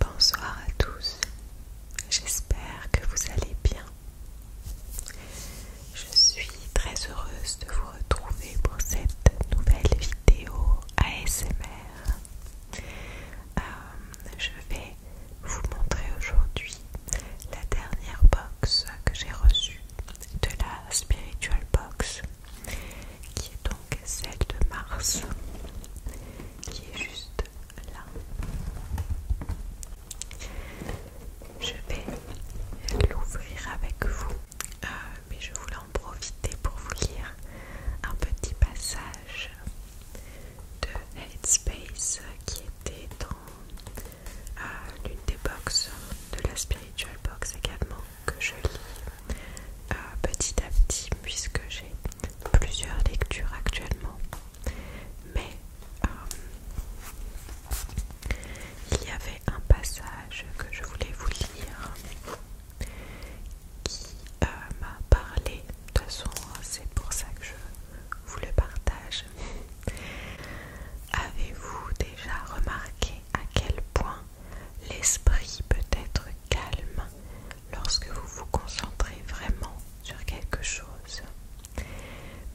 Bonsoir à tous, j'espère que vous allez bien. Je suis très heureuse de vous retrouver pour cette nouvelle vidéo ASMR. Euh, je vais vous montrer aujourd'hui la dernière box que j'ai reçue de la Spiritual Box qui est donc celle de Mars, qui est juste là. Je vais l'ouvrir avec vous, euh, mais je voulais en profiter pour vous lire un petit passage de Headspace qui était dans euh, l'une des box, de la Spiritual Box également que je lis euh, petit à petit puisque j'ai plusieurs lectures actuellement. Mais euh, il y avait un passage que je voulais vous lire qui euh, m'a parlé. De toute façon, c'est pour ça que je vous le partage. Avez-vous déjà remarqué à quel point L'esprit peut être calme lorsque vous vous concentrez vraiment sur quelque chose,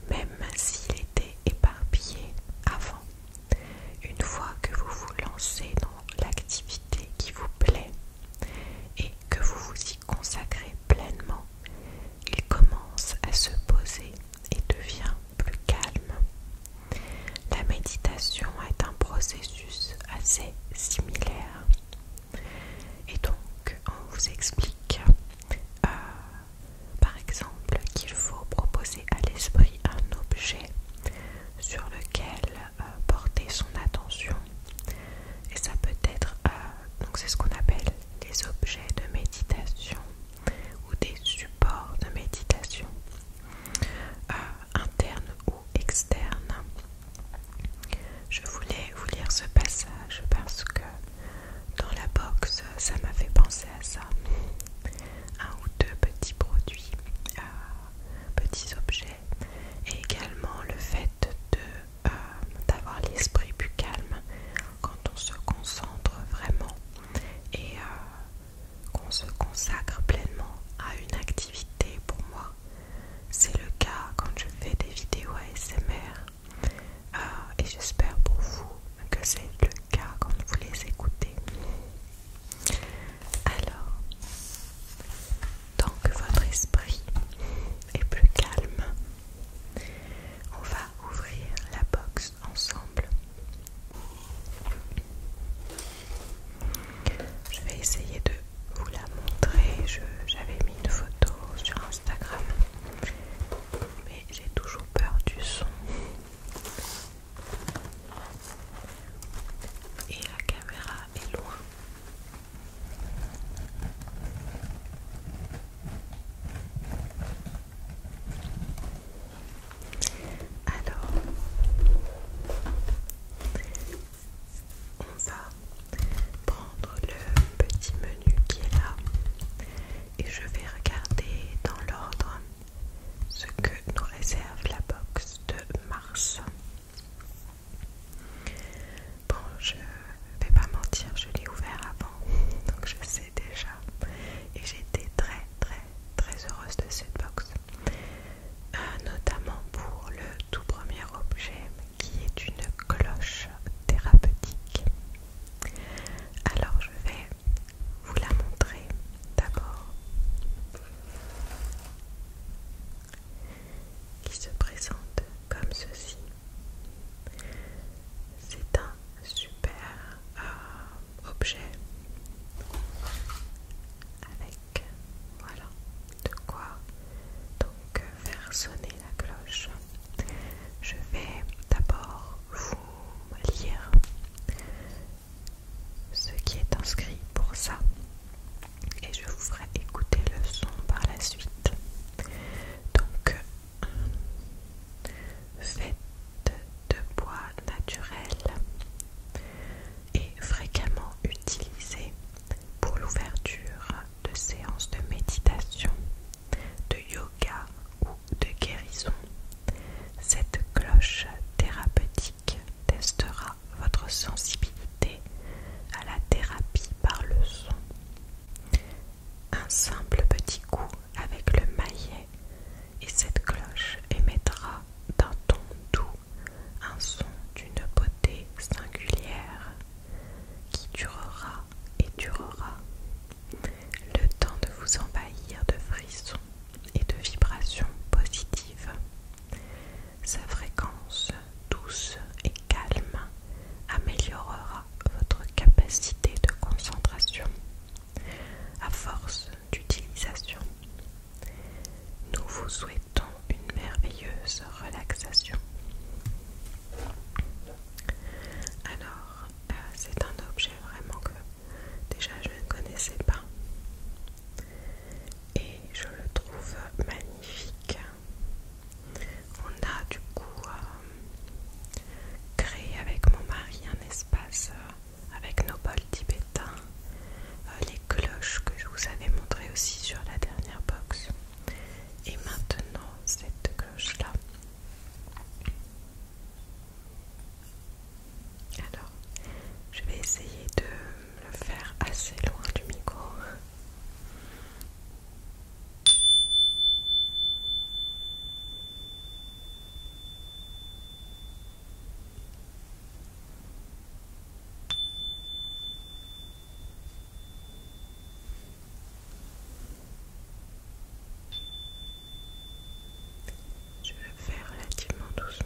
même s'il était éparpillé avant. Une fois que vous vous lancez dans l'activité qui vous plaît et que vous vous y consacrez pleinement, il commence à se poser et devient plus calme. La méditation est un processus assez similaire. Et donc, on vous explique, euh, par exemple, qu'il faut proposer à l'esprit un objet sur lequel euh, porter son attention. Et ça peut être, euh, donc c'est ce qu'on appelle des objets de méditation ou des supports de méditation internes internes externe. Je voulais vous lire ce passage parce que dans la box, ça m'a fait penser à ça. Un ou deux petits produits, euh, petits objets, et également le fait de euh, d'avoir l'esprit plus calme quand on se concentre vraiment et euh, qu'on se consacre pleinement à une activité pour moi. C'est le cas quand je fais des vidéos ASMR euh, et j'espère pour vous que c'est le cas quand vous les écoutez. Alors, tant que votre esprit est plus calme, on va ouvrir la box ensemble. Je vais essayer de vous la montrer. J'avais mis une photo sur Instagram, mais j'ai toujours peur du son. Et la caméra est loin. Alors, on va prendre le petit menu qui est là et je vais regarder dans l'ordre ce que nous réserve la box de mars. Bon, je vais pas mentir, je l'ai ouvert avant, donc je sais déjà. Et j'étais très très très heureuse de cette box. Euh, notamment pour le tout premier objet qui est une cloche thérapeutique. Alors je vais vous la montrer d'abord, qui se présente comme ceci. C'est un super euh, objet avec voilà de quoi donc faire sonner la cloche. Je vais d'abord vous lire ce qui est inscrit pour ça et je vous ferai écouter le son par la suite. Donc fête de bois naturel et fréquemment utilisée pour l'ouverture de séances de méditation, de yoga ou de guérison. Cette cloche thérapeutique testera votre sensibilité à la thérapie par le son. Un simple petit coup avec le maillet et cette cloche émettra d'un ton doux, un son d'une beauté singulière qui durera et durera, le temps de vous envahir de frissons et de vibrations positives. Sa fréquence douce et calme améliorera votre capacité de concentration. À force d'utilisation. Nous vous souhaitons une merveilleuse relaxation. Alors, euh, c'est un objet vraiment que déjà je ne connaissais pas. Et je le trouve magnifique. On a du coup euh, créé avec mon mari un espace euh, avec nos bols tibétains, euh, les cloches que je vous avais montré aussi sur la dernière box. Et maintenant, cette cloche-là. Alors, je vais essayer de le faire assez loin du micro. Je vais faire relativement doucement.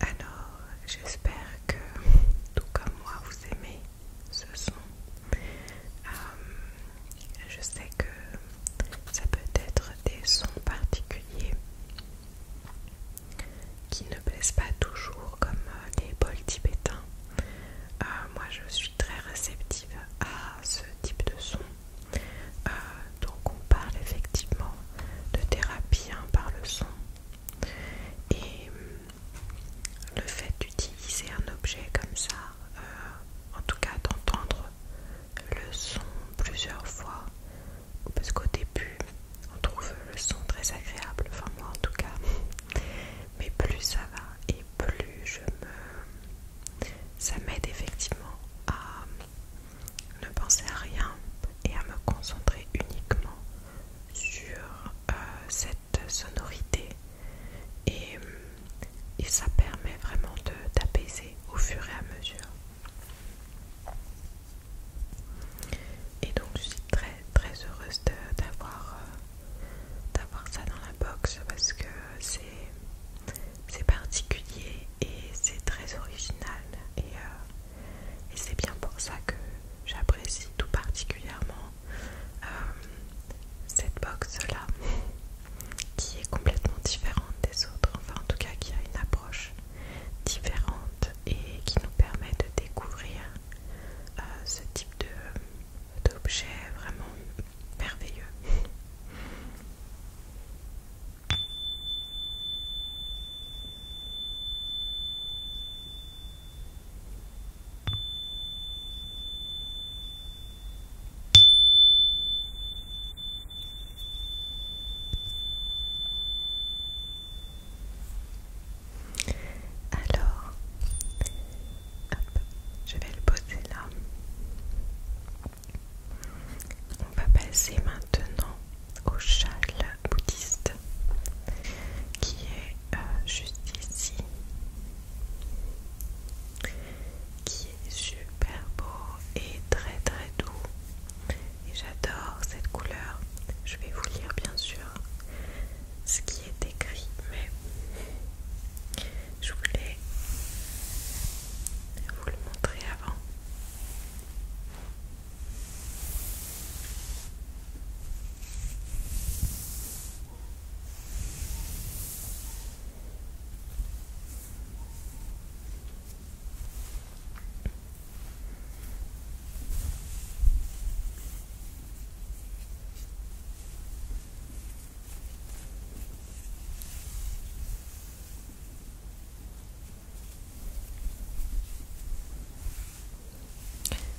Alors, j'espère que, tout comme moi, vous aimez ce son. Euh, je sais que ça peut être des sons particuliers qui ne plaisent pas toujours comme euh, les bols tibétains. Euh, moi je suis très réceptive à ce type de son. donc on parle effectivement de thérapie hein, par le son. Et hum, le fait d'utiliser un objet comme ça euh, en tout cas d'entendre le son plusieurs fois, parce qu'au début on trouve le son très agréable, enfin moi en tout cas, mais plus ça va et plus je me... ça m'aide effectivement à ne penser à rien et à me concentrer uniquement sur euh, cette sonorité euh, et, ça permet vraiment d'apaiser au fur et à mesure. Et donc je suis très très heureuse euh, d'avoir ça dans la box parce que c'est particulier et c'est très original euh, et c'est bien pour ça que j'apprécie tout particulièrement euh, cette box là qui est complètement différente des autres, enfin en tout cas qui a une approche différente et qui nous permet de découvrir euh, ce type d'objet vraiment merveilleux. Alors, je vais le poser là. On va passer maintenant au châle bouddhiste qui est euh, juste ici qui est super beau et très très doux et j'adore cette couleur je vais vous lire bien sûr ce qui est écrit mais je voulais vous le montrer avant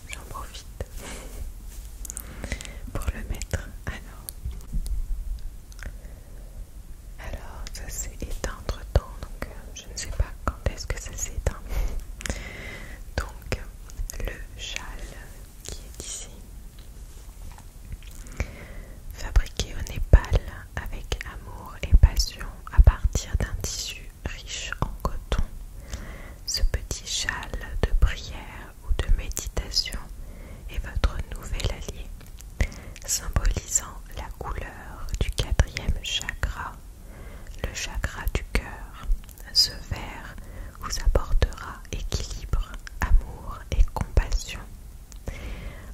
J'en profite pour le mettre. Alors, alors ça s'est éteint temps, donc euh, je ne sais pas quand est-ce que ça s'est éteint. Donc, le châle qui est ici, fabriqué au Népal avec amour et passion à partir d'un tissu riche en coton. Ce petit châle de prière ou de méditation est votre nouvel allié, symbolisant la couleur du quatrième chakra, le chakra du cœur. Ce verre vous apportera équilibre, amour et compassion.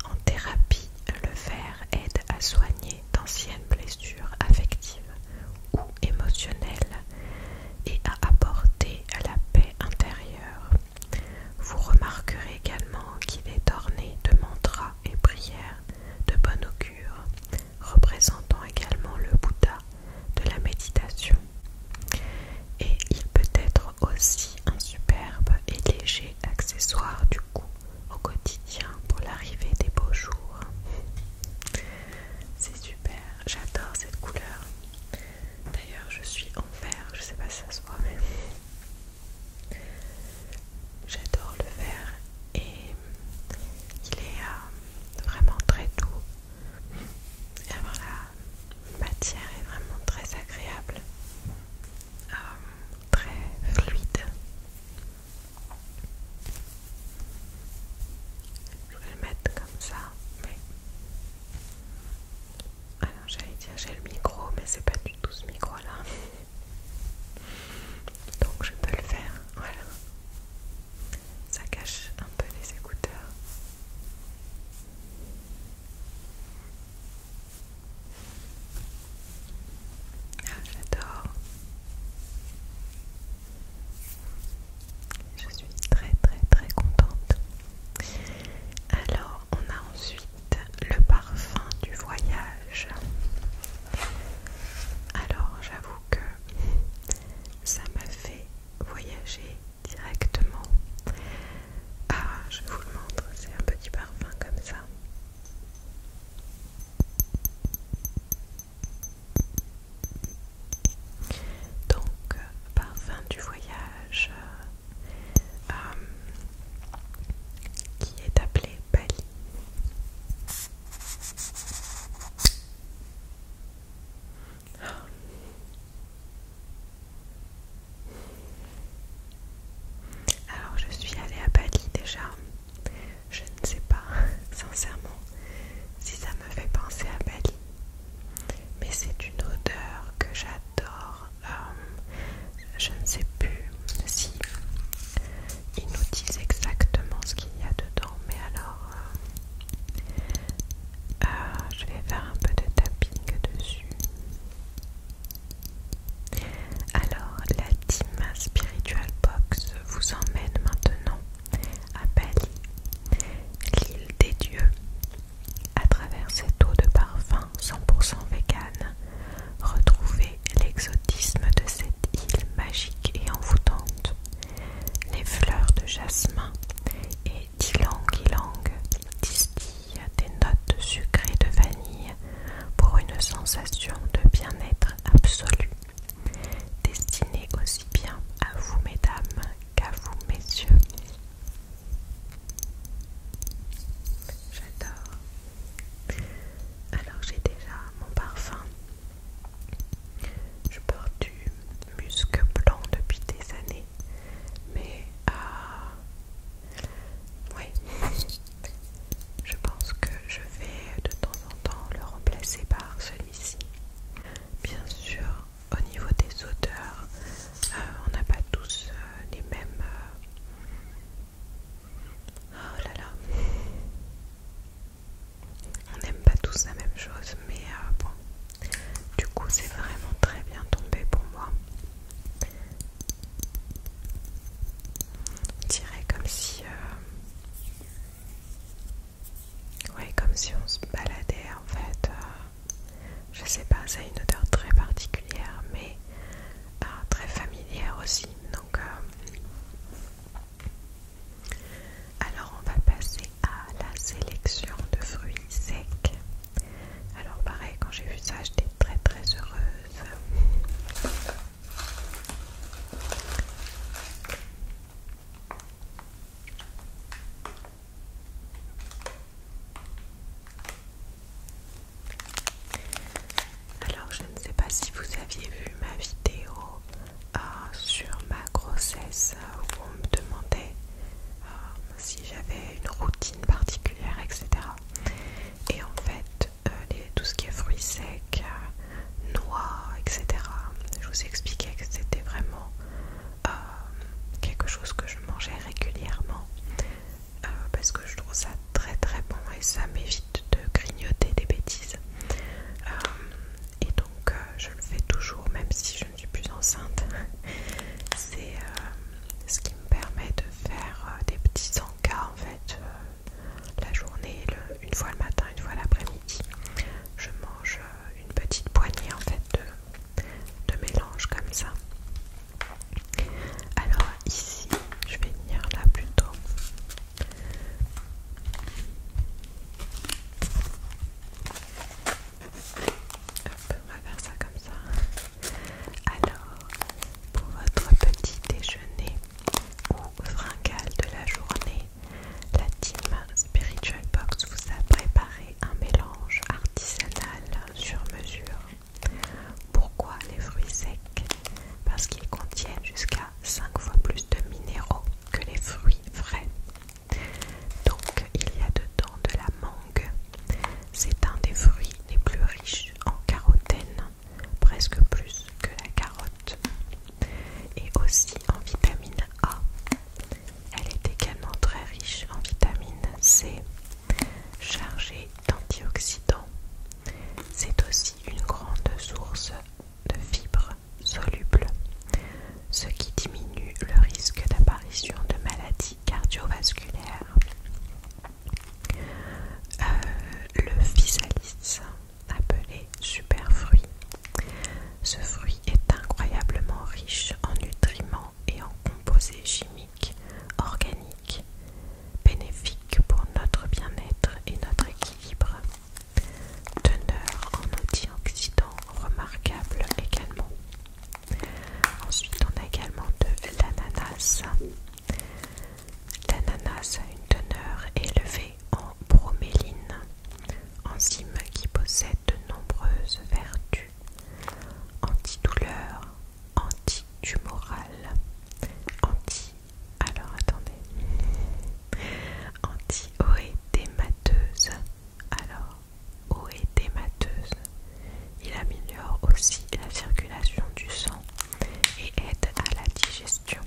En thérapie, le verre aide à soigner d'anciennes blessures affectives ou émotionnelles et à apporter la paix intérieure. Vous remarquerez également qu'il est orné de mantras et prières de bonne augure, représentant également le Bouddha de la méditation. Et il peut être aussi un superbe et léger accessoire du cou au quotidien pour l'arrivée des beaux jours. C'est super, j'adore cette couleur. D'ailleurs, je suis en verre, je sais pas si ça se voit, mais j'adore le verre et il est euh, vraiment très doux. la matière est vraiment très agréable, euh, très fluide. Je vais le mettre comme ça, mais. Alors j'allais dire j'ai le micro, mais c'est pas du tout ce micro là. Donc je peux le faire, voilà. Ça cache un peu les écouteurs. Ah, j'adore. Je suis très très très contente. Alors, on a ensuite le parfum du voyage. Alors, j'avoue que ça m'a fait voyager directement. Ah, je vous le montre, c'est un petit parfum comme ça. Donc, euh, par fin du voyage euh, euh, qui est appelé Bali. Alors je suis allée à Bali déjà. Je ne sais pas sincèrement si ça me fait penser à Bali mais c'est une odeur que j'adore. Euh, je ne sais plus si ils nous disent exactement ce qu'il y a dedans, mais alors euh, euh, je vais faire un peu de tapping dessus. Alors, la team Spiritual Box vous emmène maintenant à Bali, l'île des dieux, à travers cette eau de parfum 100% vegan, retrouvez l'exotisme de cette île magique et envoûtante. Les fleurs de jasmin et ylang ylang distillent des notes sucrées de vanille pour une sensation de bien-être absolu. Destinée aussi bien à vous, mesdames, qu'à vous, messieurs. J'adore. Alors j'ai déjà mon parfum. Je porte du musque blanc depuis des années. Mais ah Je pense que je vais de temps en temps le remplacer par celui-ci. Bien sûr, au niveau des odeurs, euh, on n'a pas tous euh, les mêmes. Euh, oh là là! On n'aime pas tous la même chose, mais bon, du coup, c'est vraiment très bien tombé pour moi. On comme si. Oui comme si on se baladait en fait. Euh, je sais pas, ça a une odeur très particulière, mais euh, très familière aussi. Donc, euh, alors on va passer à la sélection de fruits secs. Alors pareil, quand j'ai vu ça, j'étais très très heureuse. Alors je ne sais pas si vous aviez vu ma vidéo euh, sur ma grossesse euh, où on me demandait euh, si j'avais une routine particulière, etc. Et en fait, tout ce qui est fruits secs, noix, etc. Je vous expliquais que c'était vraiment euh, quelque chose que je mangeais régulièrement euh, parce que je trouve ça très très bon et ça m'évite de grignoter des bêtises. Euh, et donc je le fais toujours même si je ne suis plus enceinte. C'est ce qui me permet de faire des petits encas en fait la journée, une fois le matin, une fois l'après-midi. Je mange une petite poignée en fait de de mélange comme ça. Alors ici, je vais venir là plutôt. Hop, on va faire ça comme ça. Alors, pour votre petit déjeuner ou fringal de la journée, la team Spiritual Box vous a préparé un mélange artisanal sur mesure. Pourquoi les fruits secs Parce qu'ils contiennent jusqu'à 5 fois plus de minéraux que les fruits frais. Donc il y a dedans de la mangue. C'est un des fruits les plus riches en carotène, presque plus que la carotte. Et aussi en vitamine A. Elle est également très riche en vitamine C, chargée d'antioxydants. C'est aussi une grande source de fibres solubles, ce qui diminue le risque d'apparition de maladies cardiovasculaires. Euh, le physalis, appelé superfruit, ce fruit est incroyablement riche en nutriments et en composés chimiques, organiques, bénéfiques pour notre bien-être et notre équilibre. Teneur en antioxydants remarquable également. Ensuite, on a également de l'ananas. L'ananas a une teneur élevée en broméline, enzyme qui possède de nombreuses vertus Anti douleur, anti tumoral, anti. Alors attendez. Anti-oédémateuse. Alors, oédémateuse. Il améliore aussi la circulation du sang et aide à la digestion.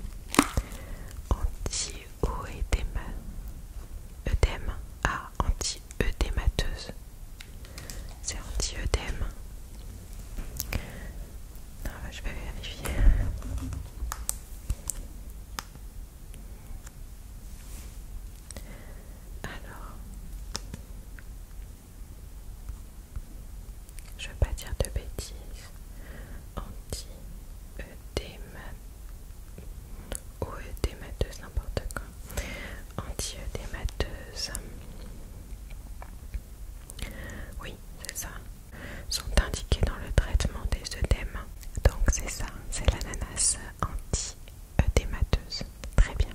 Anti-oédème. Ah, anti-œdémateuse. C'est anti-œdème. Je vais vérifier. Alors, je ne veux pas dire de bêtises. anti œdème ou œdémateuse, n'importe quoi anti antiœdémateuse. Oui, c'est ça. Sont indiqués dans le traitement des œdèmes. Donc c'est ça, c'est l'ananas anti démateuse Très bien.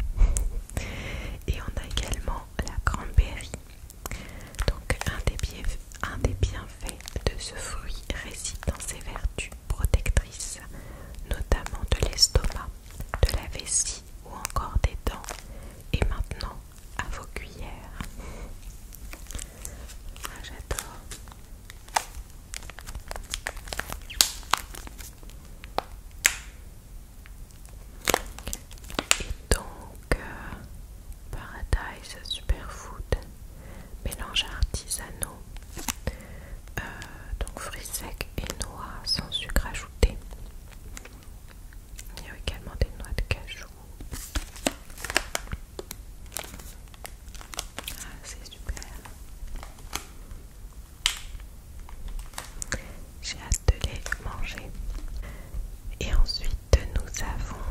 Et on a également la cranberry. Donc un des bienfaits de ce fruit réside dans ses vertus protectrice, notamment de l'estomac, de la vessie ou encore des dents. Et maintenant, à vos cuillères. Ah, j'adore. Et donc, euh, Paradise Superfood, mélange artisanaux euh, donc fruits secs et noix sans sucre ajouté. Il y a également des noix de cajou. Ah, c'est super. J'ai hâte de les manger. Et ensuite, nous avons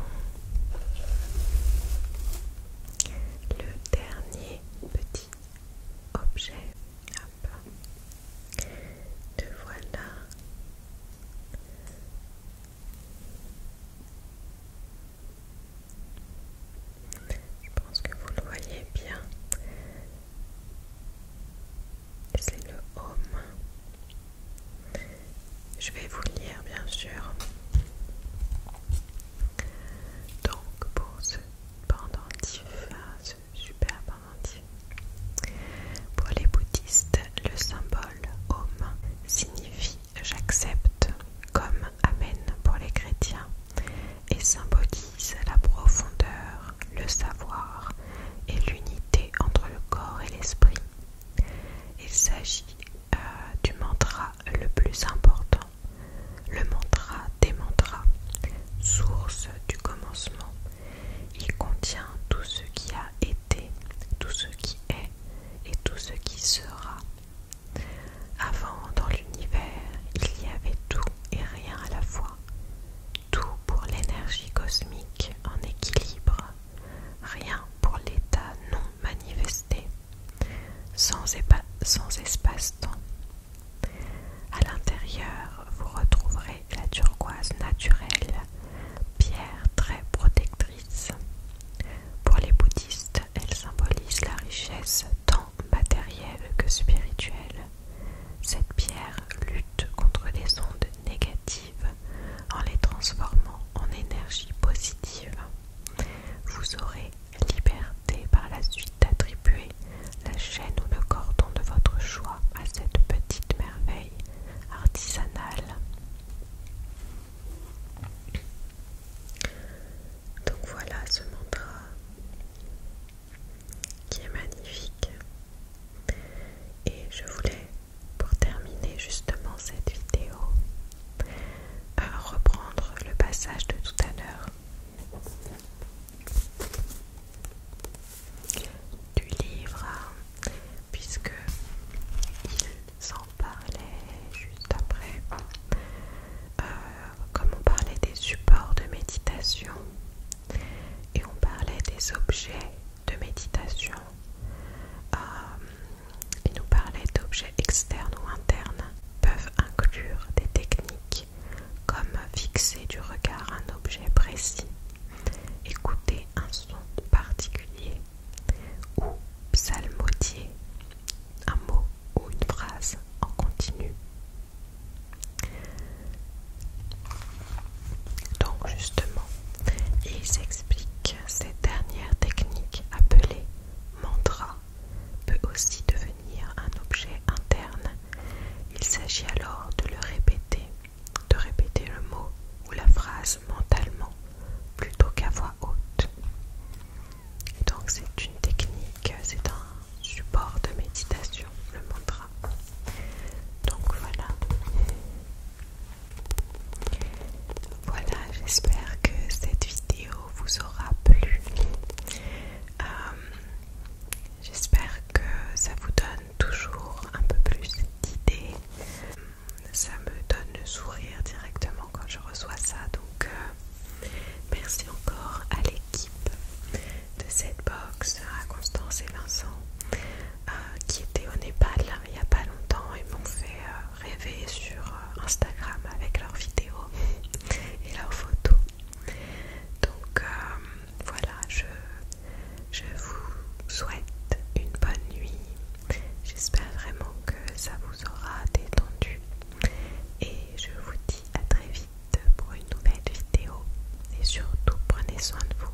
le dernier petit objet. Hop. Te voilà. Je pense que vous le voyez bien. C'est le homme. Je vais vous lire bien sûr. Donc pour ce pendentif, euh, super pendentif, pour les bouddhistes, le symbole homme signifie j'accepte comme Amen pour les chrétiens et symbolise la profondeur, le savoir et l'unité entre le corps et l'esprit. Il s'agit euh, du mantra le plus important le mantra des mantras, source du commencement. Il contient tout ce qui a été, tout ce qui est et tout ce qui sera. Avant, dans l'univers, il y avait tout et rien à la fois. Tout pour l'énergie cosmique en équilibre, rien pour l'état non manifesté sans, espace-temps. À l'intérieur, vous retrouverez la turquoise naturelle, pierre très protectrice. Pour les bouddhistes, elle symbolise la richesse tant matérielle que spirituelle. Cette pierre lutte contre les ondes négatives en les transformant en énergie positive. Vous aurez liberté par la suite d'attribuer la chaîne ou le cordon de votre choix à cette petite merveille artisanale. Donc voilà ce mantra qui est magnifique. Et je voulais, pour terminer justement cette vidéo, euh, reprendre le passage de tout à l'heure du livre puisque il s'en parlait juste après euh, comme on parlait des supports de méditation et on parlait des objets de méditation euh, il nous parlait d'objets externes ou internes peuvent inclure des techniques comme fixer du regard un objet précis, écouter un son particulier ou psalmodier, un mot ou une phrase en continu. Donc justement, ils expliquent cette dernière technique appelée mantra peut aussi devenir un objet interne. Il s'agit alors de le répéter, de répéter le mot ou la phrase mentalement plutôt qu'à voix haute. Donc c'est une technique, c'est un support de méditation, le mantra. Donc voilà. Voilà, j'espère que cette vidéo vous aura plu. Euh, j'espère que ça vous donne toujours un peu plus d'idées. Ça me donne le sourire directement quand je reçois ça. Donc euh, merci encore à l'équipe de cette box, à Constance et Vincent, euh, qui étaient au Népal il n'y a pas longtemps et m'ont fait rêver sur Instagram avec leurs vidéos et leurs photos. Donc euh, voilà, je, je vous souhaite une bonne nuit. J'espère vraiment que ça vous aura détendu. Et je vous dis à très vite pour une nouvelle vidéo. Et surtout, prenez soin de vous.